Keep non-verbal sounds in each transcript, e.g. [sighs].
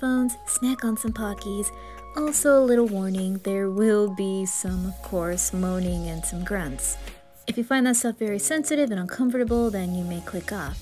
Phones. snack on some Pockies. Also, a little warning there will be some, of course, moaning and some grunts. If you find that stuff very sensitive and uncomfortable, then you may click off.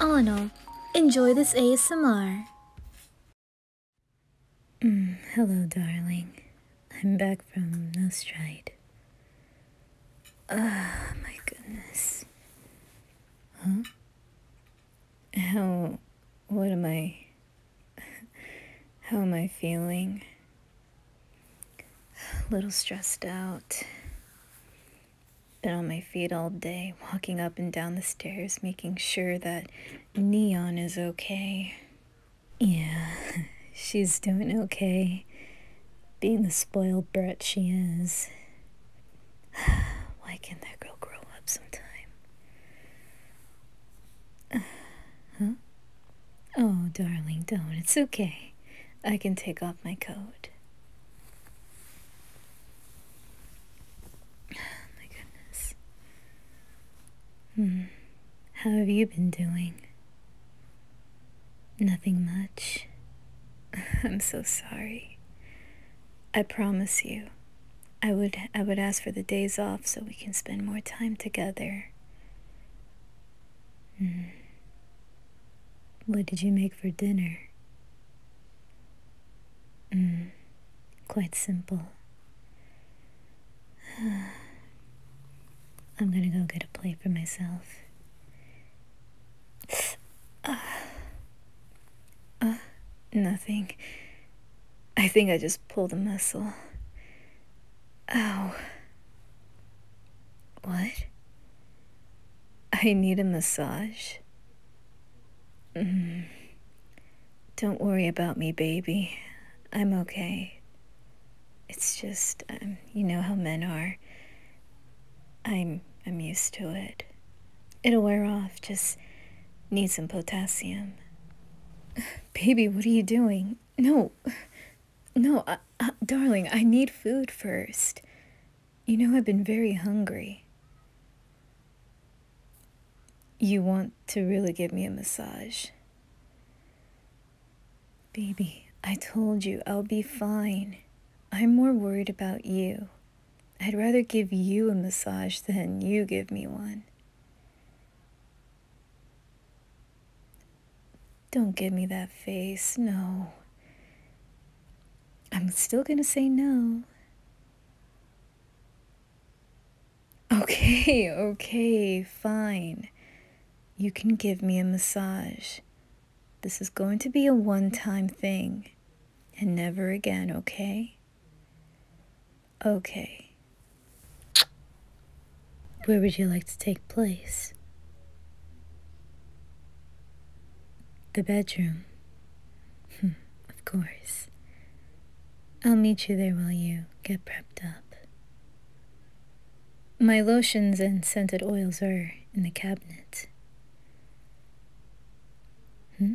All in all, enjoy this ASMR. Mm, hello, darling. I'm back from No Stride. Ah, my goodness. Huh? how what am I how am I feeling? A little stressed out. Been on my feet all day, walking up and down the stairs, making sure that Neon is okay. Yeah, [laughs] she's doing okay. Being the spoiled brat she is. [sighs] Why can that girl grow up sometime? huh? [sighs] Oh, darling, don't. It's okay. I can take off my coat. Oh, [sighs] my goodness. Hmm. How have you been doing? Nothing much. [laughs] I'm so sorry. I promise you, I would I would ask for the days off so we can spend more time together. Mm. What did you make for dinner? Mm. Quite simple. [sighs] I'm gonna go get a plate for myself. [sighs] Ah. Uh, nothing. I think I just pulled a muscle. Oh. What? I need a massage. Mm. Don't worry about me, baby. I'm okay. It's just, um, you know how men are. I'm, I'm used to it. It'll wear off, just need some potassium. [sighs] Baby, what are you doing? No, [sighs] no, uh, uh, darling, I need food first. You know, I've been very hungry. You want to really give me a massage? Baby, I told you I'll be fine. I'm more worried about you. I'd rather give you a massage than you give me one. Don't give me that face, no. I'm still gonna say no. Okay, okay, fine. You can give me a massage. This is going to be a one time thing. And never again, okay? Okay. Where would you like to take place? The bedroom. Hmm, of course. I'll meet you there while you get prepped up. My lotions and scented oils are in the cabinet. Hmm?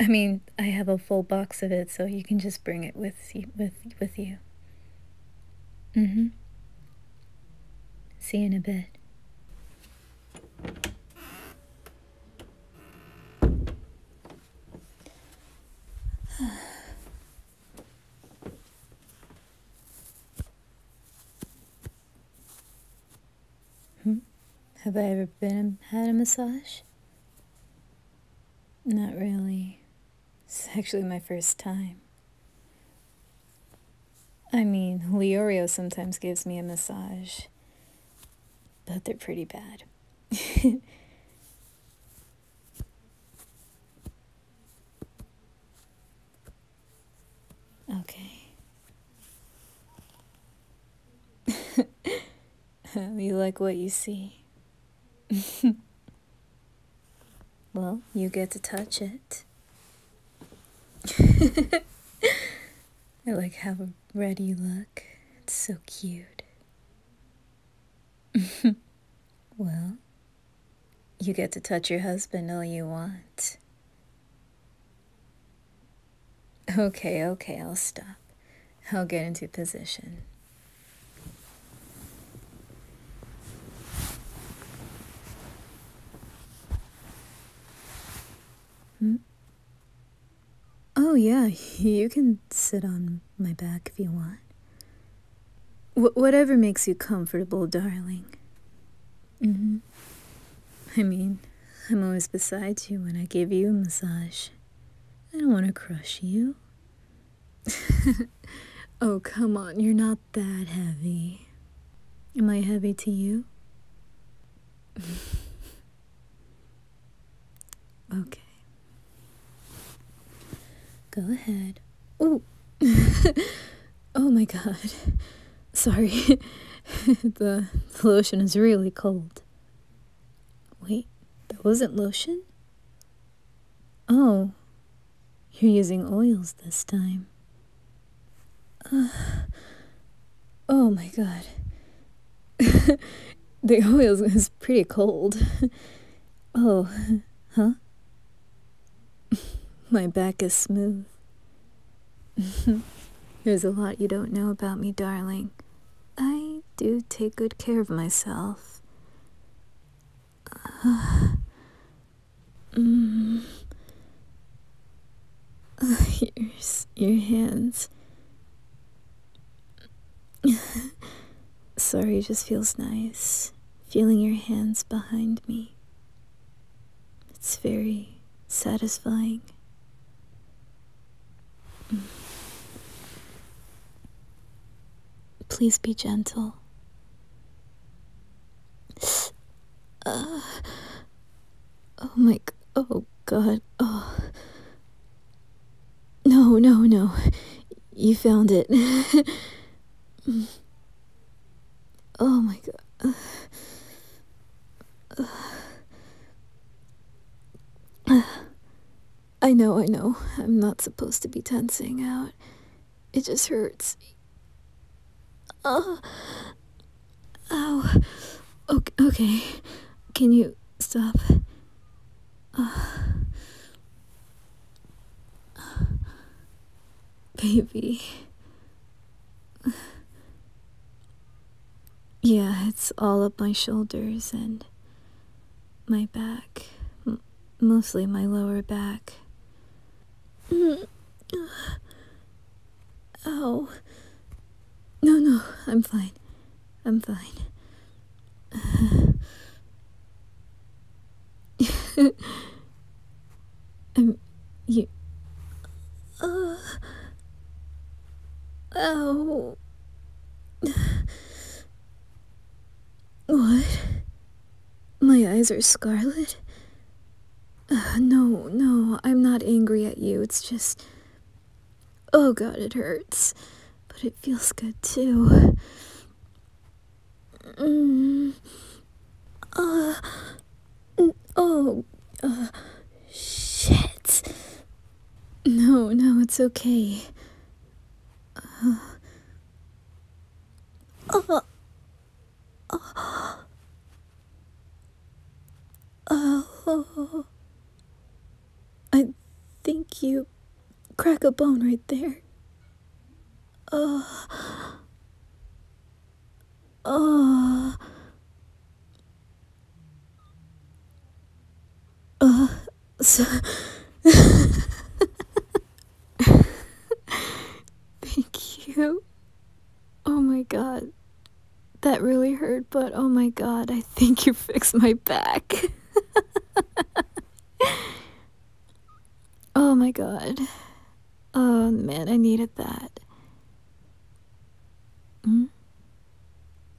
I mean, I have a full box of it, so you can just bring it with with with you. Mm-hmm. See you in a bit. Hmm? Have I ever been had a massage? Not really. It's actually my first time. I mean, Leorio sometimes gives me a massage, but they're pretty bad. [laughs] Okay. [laughs] you like what you see. [laughs] well, you get to touch it. [laughs] I like how ready you look. It's so cute. well, you get to touch your husband all you want. Okay, okay, I'll stop. I'll get into position. Hmm? Oh, yeah, you can sit on my back if you want. Wh whatever makes you comfortable, darling. Mm-hmm. I mean, I'm always beside you when I give you a massage. I don't want to crush you. [laughs] oh, come on, you're not that heavy. Am I heavy to you? [laughs] okay. Go ahead. Oh! [laughs] oh my god. Sorry, [laughs] the, lotion is really cold. Wait, that wasn't lotion? Oh, you're using oils this time. Uh, oh my god. [laughs] the oils is pretty cold. [laughs] oh, huh? my back is smooth. [laughs] There's a lot you don't know about me, darling. I do take good care of myself. Here's [sighs] your, mm. [sighs] your hands. [laughs] Sorry just feels nice. Feeling your hands behind me. It's very satisfying. Mm. Please be gentle. Uh, oh my, oh god, oh. No, no, no. You found it. [laughs] Oh my god. I know, I know. I'm not supposed to be tensing out. It just hurts. Oh. oh. Okay. okay. Can you stop? Baby. [sighs] yeah, it's all up my shoulders and my back, mostly my lower back. [sighs] Oh, No, no, I'm fine. I'm fine. [sighs] [laughs] Um, you. Uh, oh. [sighs] What? My eyes are scarlet? Uh, no, no, I'm not angry at you. It's just. Oh god, it hurts. But it feels good too. Mm. Uh. Oh, uh, shit. No, no, it's okay. Uh, uh, uh, oh. I think you crack a bone right there. Uh, uh, uh, [laughs] Thank you. Oh my god. That really hurt, but oh my god, I think you fixed my back. [laughs] oh my god. Oh man, I needed that. Hmm?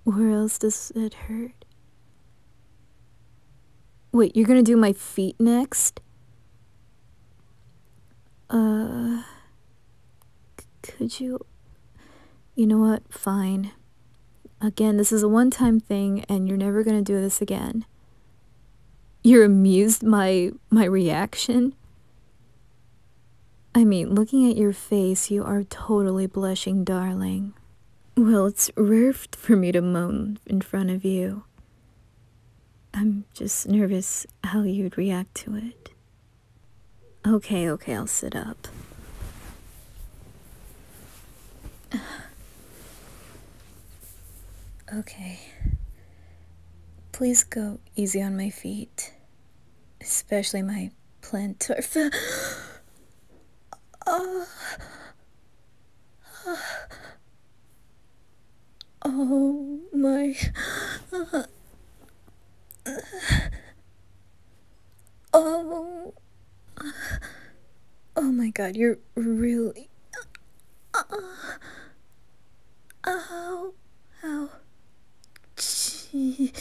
Where else does it hurt? Wait, you're gonna do my feet next? Uh. Could you. You know what? Fine. Again, this is a one time thing, and you're never gonna do this again. You're amused my my reaction? I mean, looking at your face, you are totally blushing, darling. Well, it's rare for me to moan in front of you. I'm just nervous how you'd react to it. Okay, okay, I'll sit up. [sighs] Okay. Please go easy on my feet especially my plantar. [gasps] oh. my. [sighs] Oh. Oh my god, you're really. Uh, uh, Ow. Ow. Gee.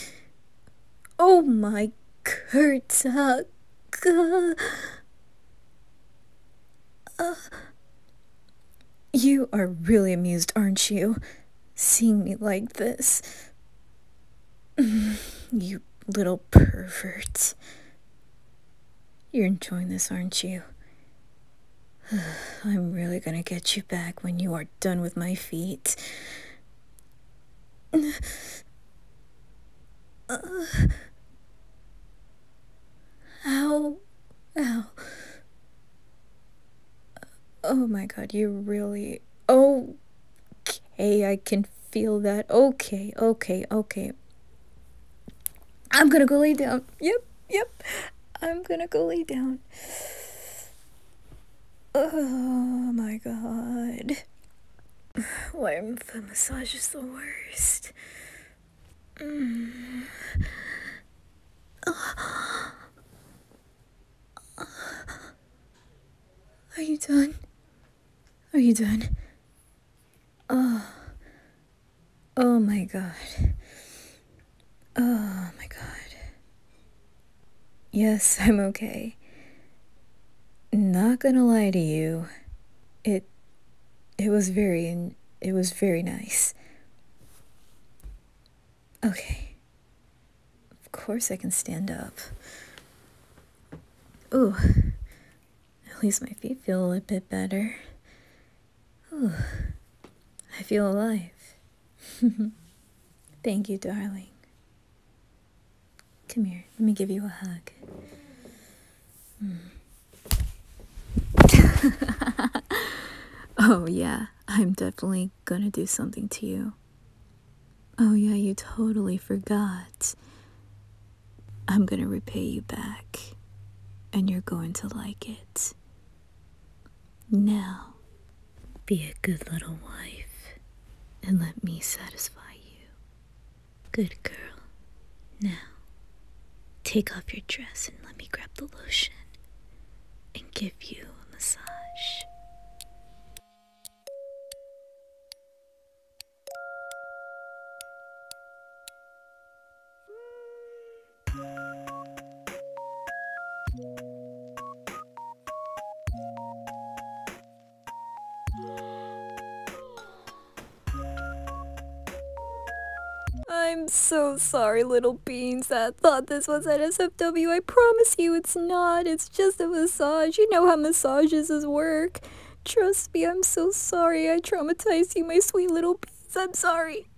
Oh my kurtak. Uh, you are really amused, aren't you? Seeing me like this. [laughs] you little pervert. You're enjoying this, aren't you? [sighs] I'm really gonna get you back when you are done with my feet. [sighs] ow. Ow. Oh my god, you really... Okay, I can feel that. Okay, okay, okay. I'm gonna go lay down. Yep yep, I'm gonna go lay down. Oh my god. why Warm the massage is the worst. Mm. Are you done? Are you done? Oh. Oh my god. Oh my god. Yes, [laughs] I'm okay. Not gonna lie to you. It it was very it was very nice. Okay. Of course I can stand up. Ooh. At least my feet feel a bit better. Whew. [sighs] I feel alive. [laughs] Thank you, darling. Come here, let me give you a hug. Hmm. [laughs] oh, yeah, I'm definitely gonna do something to you. Oh, yeah, you totally forgot. I'm gonna repay you back, and you're going to like it. Now, be a good little wife and let me satisfy you. Good girl. Now, take off your dress and let me grab the lotion and give you a massage. I'm so sorry, little beans. That thought this was at SFW. I promise you it's not. It's just a massage. You know how massages work. Trust me, I'm so sorry. I traumatized you, my sweet little beans. I'm sorry.